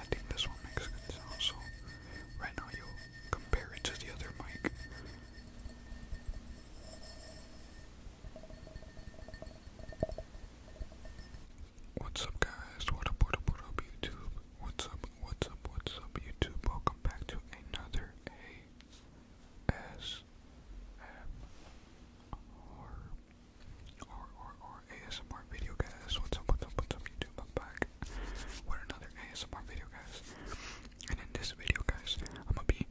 I think this one makes good sound, so right now you compare it to the other mic. What's up guys? What up, what up, what up YouTube? What's up, what's up, what's up YouTube? Welcome back to another ASMR or, or, or ASMR video, guys. What's up, what's up, what's up, YouTube? I'm back with another ASMR video, guys. And in this video, guys, I'm gonna be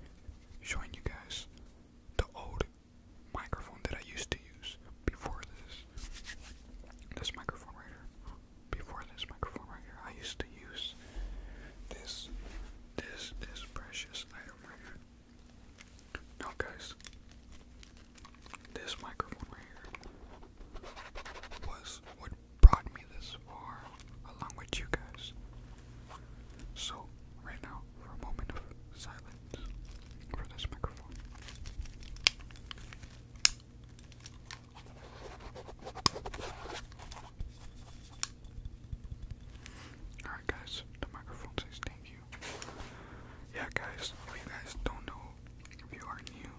showing you guys the old microphone that I used to use before this. This microphone right here. Before this microphone right here, I used to use this, this, this precious item right here. Now, guys, this microphone right here was what brought me this far along with you guys. So, right now, for a moment of silence for this microphone. Alright, guys, the microphone says thank you you. Yeah, guys, if you guys don't know, if you are new,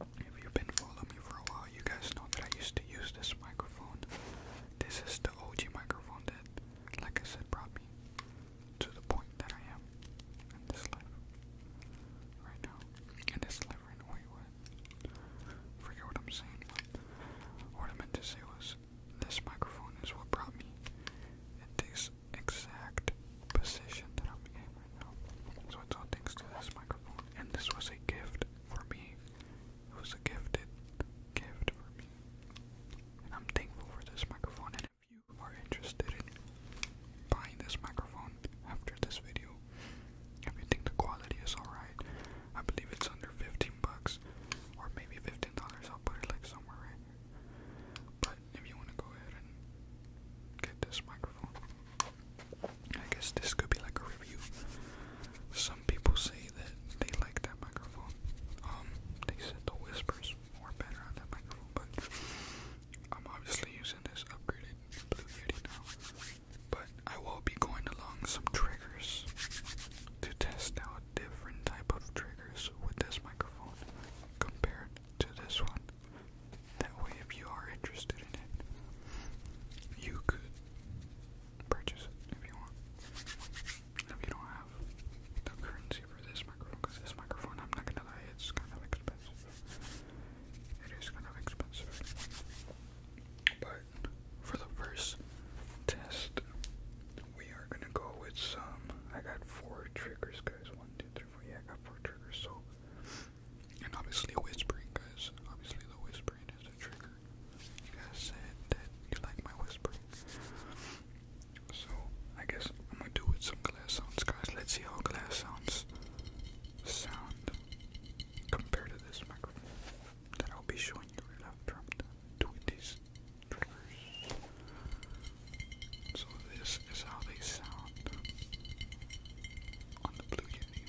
if you've been following me for a while, you guys know that I used to use this microphone. This is the OG microphone that, like I said, brought me to the point that I am in this life right now. In this life right now, wait, what? Forget what I'm saying. What I meant to say was this microphone is what brought me into this exact position that I'm in right now. So it's all thanks to this microphone. And this was a gift for me. It was a gifted gift for me. And I'm thankful for this microphone. And if you are interested in buying this microphone after this video, if you think the quality is alright, I believe it's under 15 bucks or maybe $15. I'll put it like somewhere But if you want to go ahead and get this microphone, I guess this could be like a review. Some people say that they like that microphone. Um, they said the whispers were better on that microphone, but I'm obviously using this upgraded Blue Yeti now. But I will be going along some triggers to test out different type of triggers with this microphone compared to this one. That way, if you are interested in it, you could purchase it if you want. If you don't have the currency for this microphone, because this microphone, I'm not gonna lie, it's kind of expensive. It is kind of expensive. But for the first test. We are gonna go with some. I got four triggers, guys. One, two, three, four. Yeah, I got four triggers. So, and obviously whispering, guys. Obviously the whispering is a trigger. You guys said that you like my whispering, so I guess I'm gonna do with some glass sounds, guys. Let's see how glass sounds sound compared to this microphone that I'll be showing you right after doing these so this is how they sound on the Blue Yeti.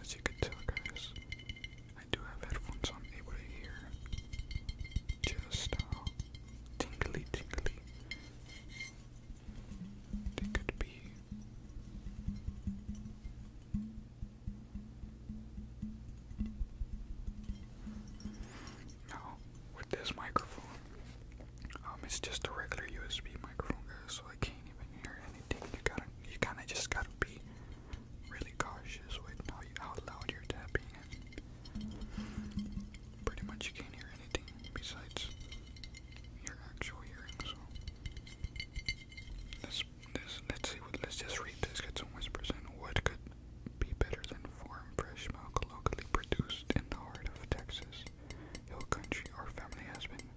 As you can tell guys, I do have headphones so able to hear just how tingly tingly they could be. Now, with this microphone, um, it's just a regular USB microphone, guys, so I can't even hear anything. You gotta, you kinda just gotta be really cautious with how, loud you're tapping, and pretty much you can't hear anything besides your actual hearing. So, that's let's see. Let's just read this. Get some whispers in. What could be better than farm fresh milk locally produced in the heart of Texas? Hill country. Our family has been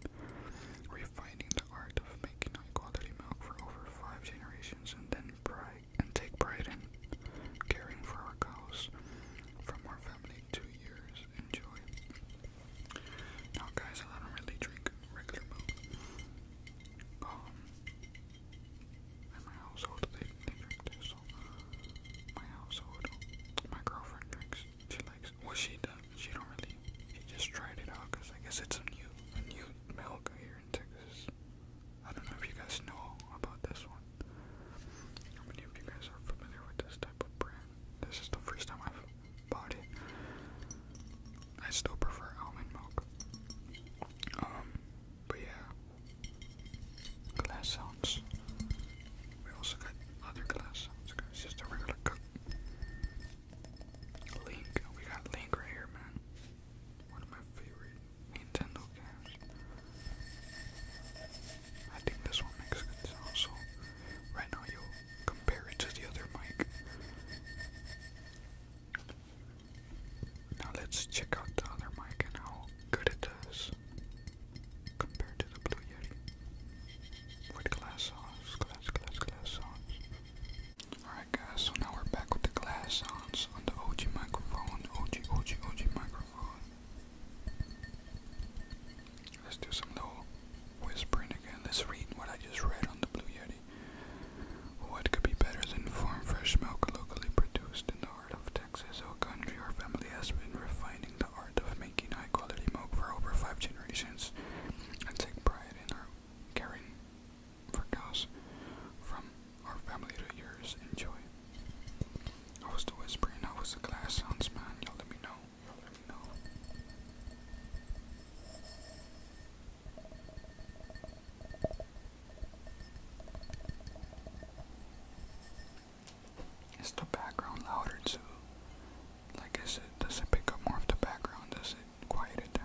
refining the art of making high-quality milk for over five generations, and then pride and take pride in caring for our cows. From our family, two years. Enjoy. Now, guys, I don't really drink regular milk. Um, in my household, they, drink this. my household, my girlfriend drinks. She likes. Well, she does. She don't really. She just tried it out because I guess it's a new, a new milk here in Texas. I don't know if you guys know about this one. How many of you guys are familiar with this type of brand? This is the first time I've body. I still prefer almond milk. Um, but yeah, glass sounds. We also got other glass sounds. It's just a regular Link, we got Link right here, man. One of my favorite Nintendo games. I think this one makes good sound. So right now, you compare it to the other mic. Now let's check out the other mic and how good it does compared to the Blue Yeti. With glass sounds, glass, glass, glass sounds. Alright guys, so now we're back with the glass sounds on the OG microphone, OG, OG, OG microphone. Let's do some little whispering again. Let's read what I just read on the Blue Yeti. What could be better than farm fresh milk locally produced in the heart of Texas? Our country, our family has been refining the art of making high quality milk for over five generations and take pride in our caring for cows from our family to yours. Enjoy. I was still whispering, I was a glass sounds man, y'all let me know you Is the background louder too? Like is it does it pick up more of the background? Does it quiet it down?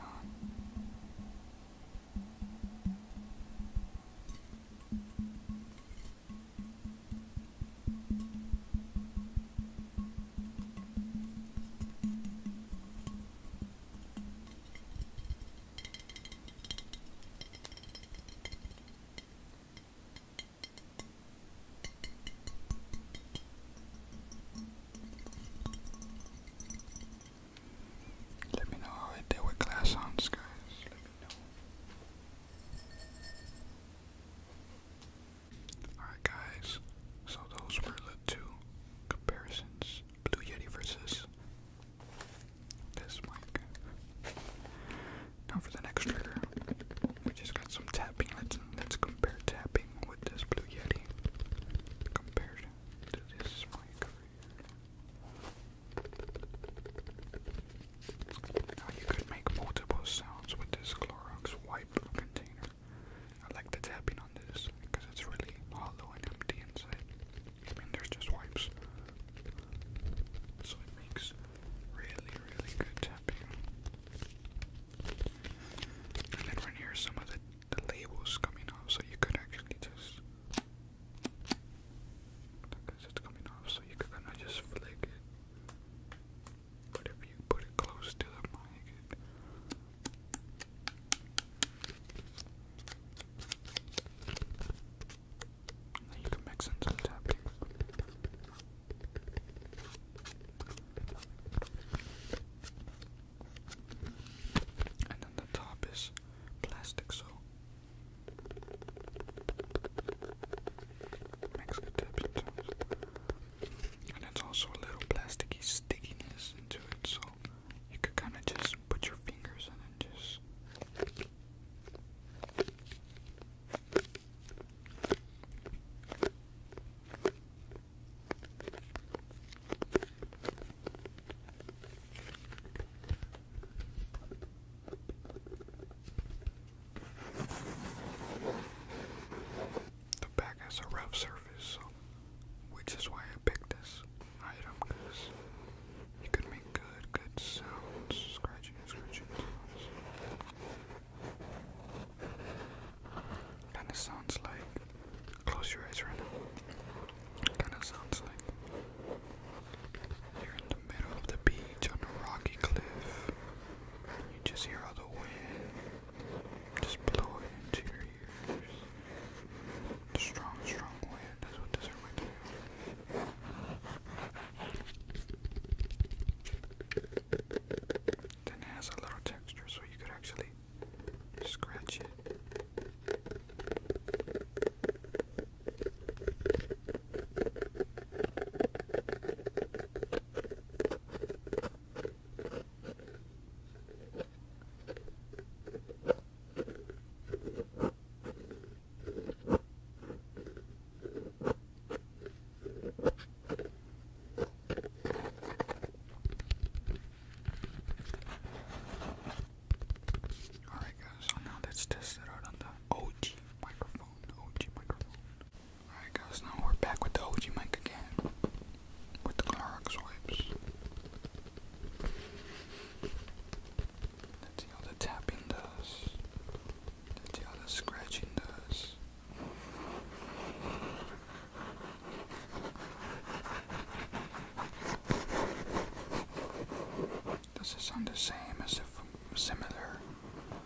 Let me know how I deal with glass sounds, guys. Let me know. Alright guys, so those were the two comparisons. Blue Yeti versus this mic. Now for the next trigger, we just got some tapping. Let's compare tapping with this Blue Yeti compared to this mic Now you could make multiple sounds with this Clorox wipe white container. I like the tapping on this because it's really hollow and empty inside. I mean, there's just wipes. So it makes really, really good tapping. And then right here, some of the, labels coming off, so you could actually just. Because it's coming off, so you could kind of just flick but if you put it close to the mic, then you can mix in some tapping. And then the top is plastic, so makes good tapping sounds and it's also a little plasticky stickiness into it, so you could kind of just put your fingers in and just. The back has a rough surface, so, which is why I picked this item, because you could make good, good sounds, scratching and scratching sounds. Kinda sounds like, close your eyes right now, kinda sounds like you're in the middle of the beach on a rocky cliff you just hear all the wind just blowing into your ears. The strong, strong wind. That's what this reminds me Then it has a little texture, so you could actually scratch it. Alright guys, so now let's test it out on the OG microphone, OG microphone. Alright guys, now we're back with the OG mic again. With the Clorox wipes. let how the tapping does. let how the scratching does. Does it sound the same as if similar?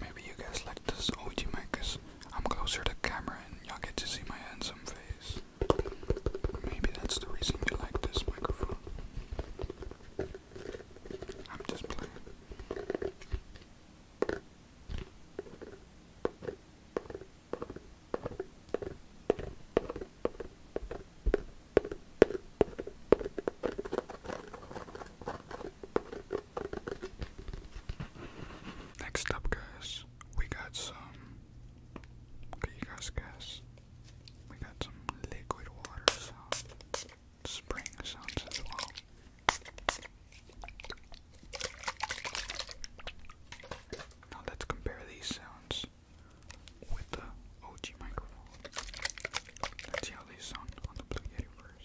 Maybe you guys like this OG mic because I'm closer to camera and y'all get to see my handsome face. Maybe that's the reason you like this microphone. I'm just playing. Next up, guys, we got some. Can you guys guess? We got some liquid water sounds, spring sounds as well. Now let's compare these sounds with the OG microphone. Let's see how they sound on the Blue Yeti first.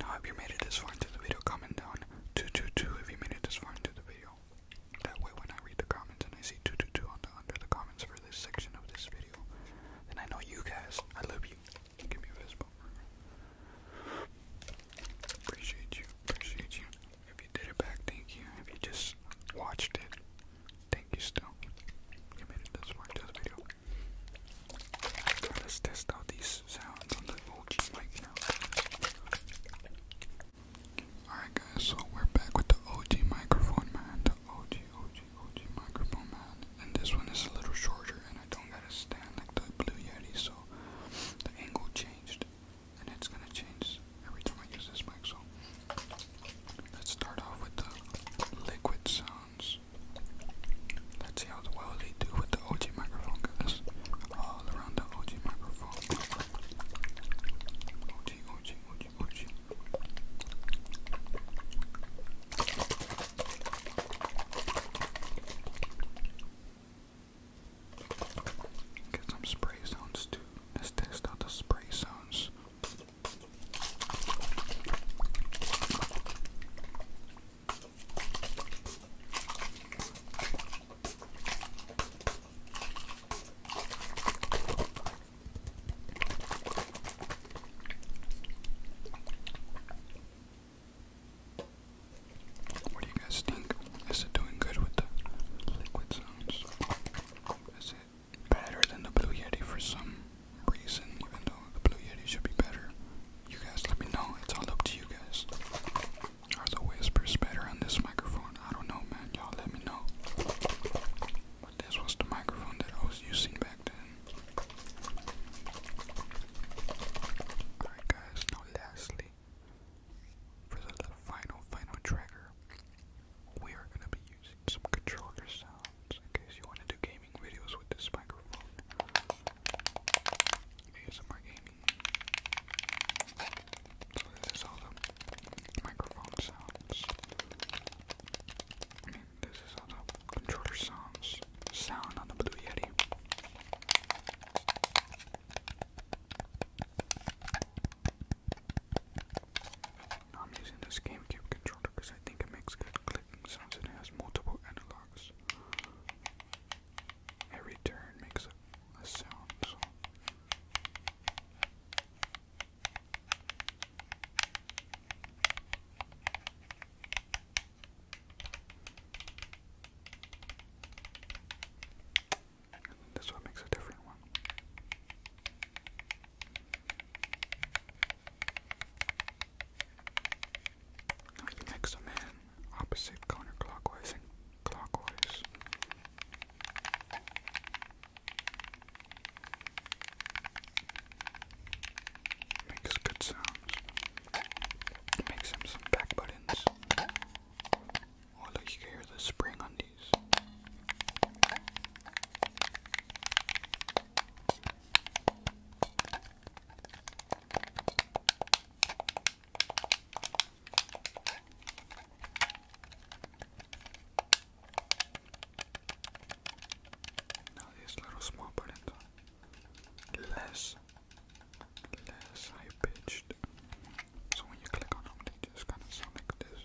Now, if you made it this far into the video, comment down 222 if you made it this far into the video. That way, when I read the comments and I see 222 under the comments for this section of this video, then I know you guys, I love you. Give me a fist bump. Appreciate you, appreciate you. If you did it back, thank you. If you just watched it, thank you still. You made it this far into the video. Let's test out these sounds on the OG mic now. Alright guys, so we're back with the OG microphone man. The OG, OG, OG microphone man. And this one is a little shorter and I don't gotta stand like the Blue Yeti, so the angle changed. And it's gonna change every time I use this mic, so let's start off with the liquid sounds this. Let's see how well they do with the OG microphone, guys. All around the OG microphone. OG, OG, OG, OG. Get some spray sounds too. Let's test out the spray sounds. What do you guys think? Is it doing good with the liquid sounds? Is it better than the Blue Yeti for some? reason, even though the Blue Yeti should be better. You guys let me know, it's all up to you guys. Are the whispers better on this microphone? I don't know, man. Y'all let me know. But this was the microphone that I was using back then. Alright, guys, now lastly, for the final, final trigger, we are going to be using some controller sounds in case you want to do gaming videos with this microphone. ASMR gaming. So this is all the microphone sounds. this is how the controller sounds. Sound on the Blue Yeti. I'm using this GameCube controller controller because I think it makes good clicking sounds it has multiple analogs. Every turn makes a, sound. this one makes a different one. I can mix them in opposite counterclockwise and clockwise. Makes good sounds. Makes him some back buttons. Oh look, you the spring on these. Now these little small buttons less, less high pitched. So when you click on them, they just kind of sound like this.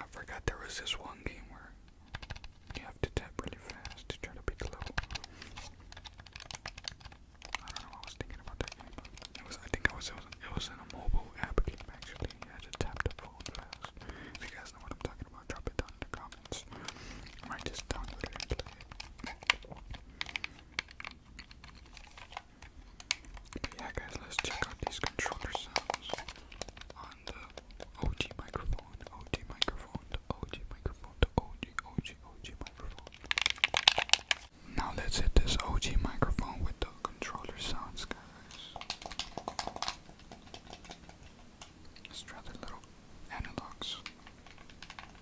I forgot there was this one game where you have to tap really fast to try to beat the level. I don't know. I was thinking about that game. it was. I think I was. It it was in a mobile app game actually. You had to tap the phone fast. you guys know what I'm talking about, drop it down in the comments. I just download it and play it. Yeah, guys, let's check out these controller sounds on the OG microphone, OG microphone, OG microphone, OG, OG, OG microphone. Now let's hit this OG microphone with the controller sounds, guys. Let's try the little analogs.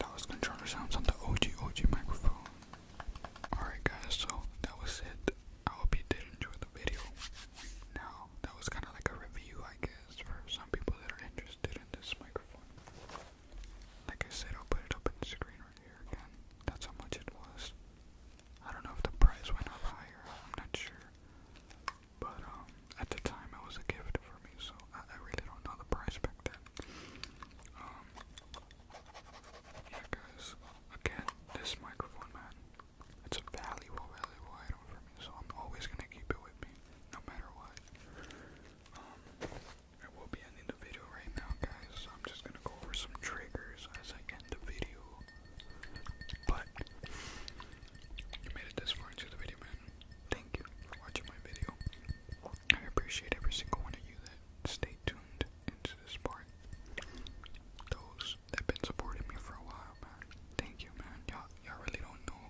That was controller sounds on the OG OG microphone. Alright guys, so that was it. I hope you did enjoy the video. Now, that was kind of like a review, I guess, for some people that are interested in this microphone. Like I said, I'll put it up on the screen right here again. That's how much it was. I don't know if the price went up higher, I'm not sure. But um, at the time, it was a gift for me, so I, really don't know the price back then. Um, yeah, guys, again, this microphone, man. It's a valuable, valuable item for me, so I'm always gonna keep it with me, no matter what. Um, I will be ending the video right now, guys. I'm just gonna go over some triggers as I end the video. But you made it this far into the video, man. Thank you for watching my video. I appreciate every single one of you that stayed tuned into this part. Those They've been supporting me for a while, man. Thank you, man. Y'all, y'all really don't know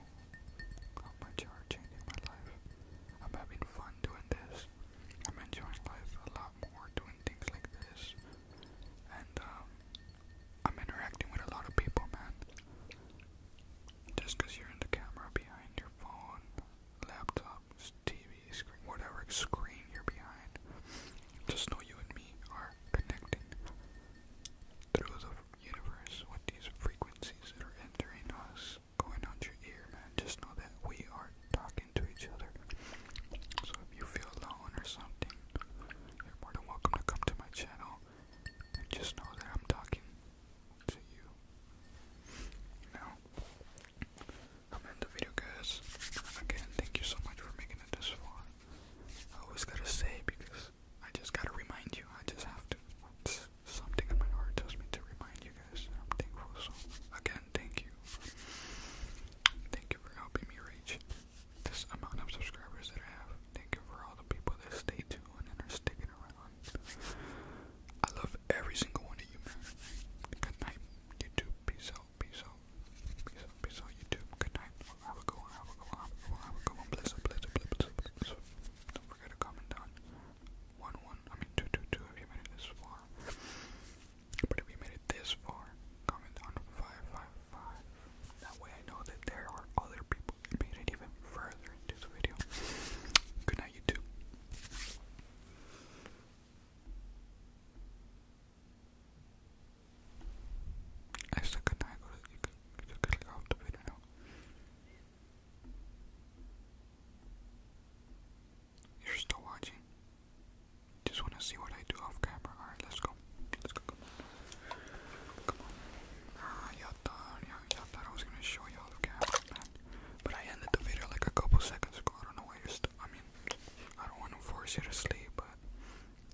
how much y'all are changing my life. I'm having fun doing this. I'm enjoying life a lot more doing things like this, and um, I'm interacting with a lot of people, man. Just you're in the camera behind your phone, laptop, TV, screen, whatever screen you're behind. Just know you and me are connecting through the universe with these frequencies that are entering us, going on your ear, man. Just know that we are talking to each other. So if you feel alone or something, you're more than welcome to come to my channel and just know that I'm talking to you. You i the video, guys. Again, thank you so much for making it this far. I always gotta say because I just gotta remind you. I just have to. something in my heart tells me to remind you guys. I'm So again, thank you. Thank you for helping me reach this amount of subscribers that I have. Thank you for all the people that stay tuned and are sticking around. I love every single one of you, Good night, YouTube. Peace out. Peace out. Peace out, peace out, YouTube. Good night. Have a good one, have a good one, have a good one, have a good one. Bless up, bless up, bless up, bless up. Don't forget to comment down. 1 1, I mean 2 if you made it this far. But if you made it this far, comment down 555. That way I know that there are other people that it even further into the video. Good night, YouTube. Actually, can I go to, you can, you can click off the video You're still watching. Just wanna see what I do off camera. Alright, let's go. Let's go, come on. Ah, y'all thought, you thought I was gonna show y'all camera, But I ended the video like a couple seconds ago. I don't know why you're still, I don't want to force you to sleep, but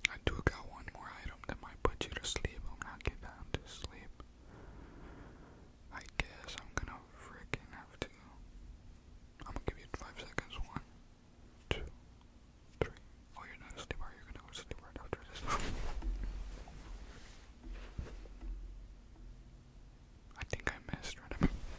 I do got one more item that might put you to sleep. I'm not getting to sleep. I guess I'm gonna freaking have to. I'm gonna give you five seconds. One, two, three. Oh, you're not asleep, are you? gonna go to sleep after this. I think I missed, right?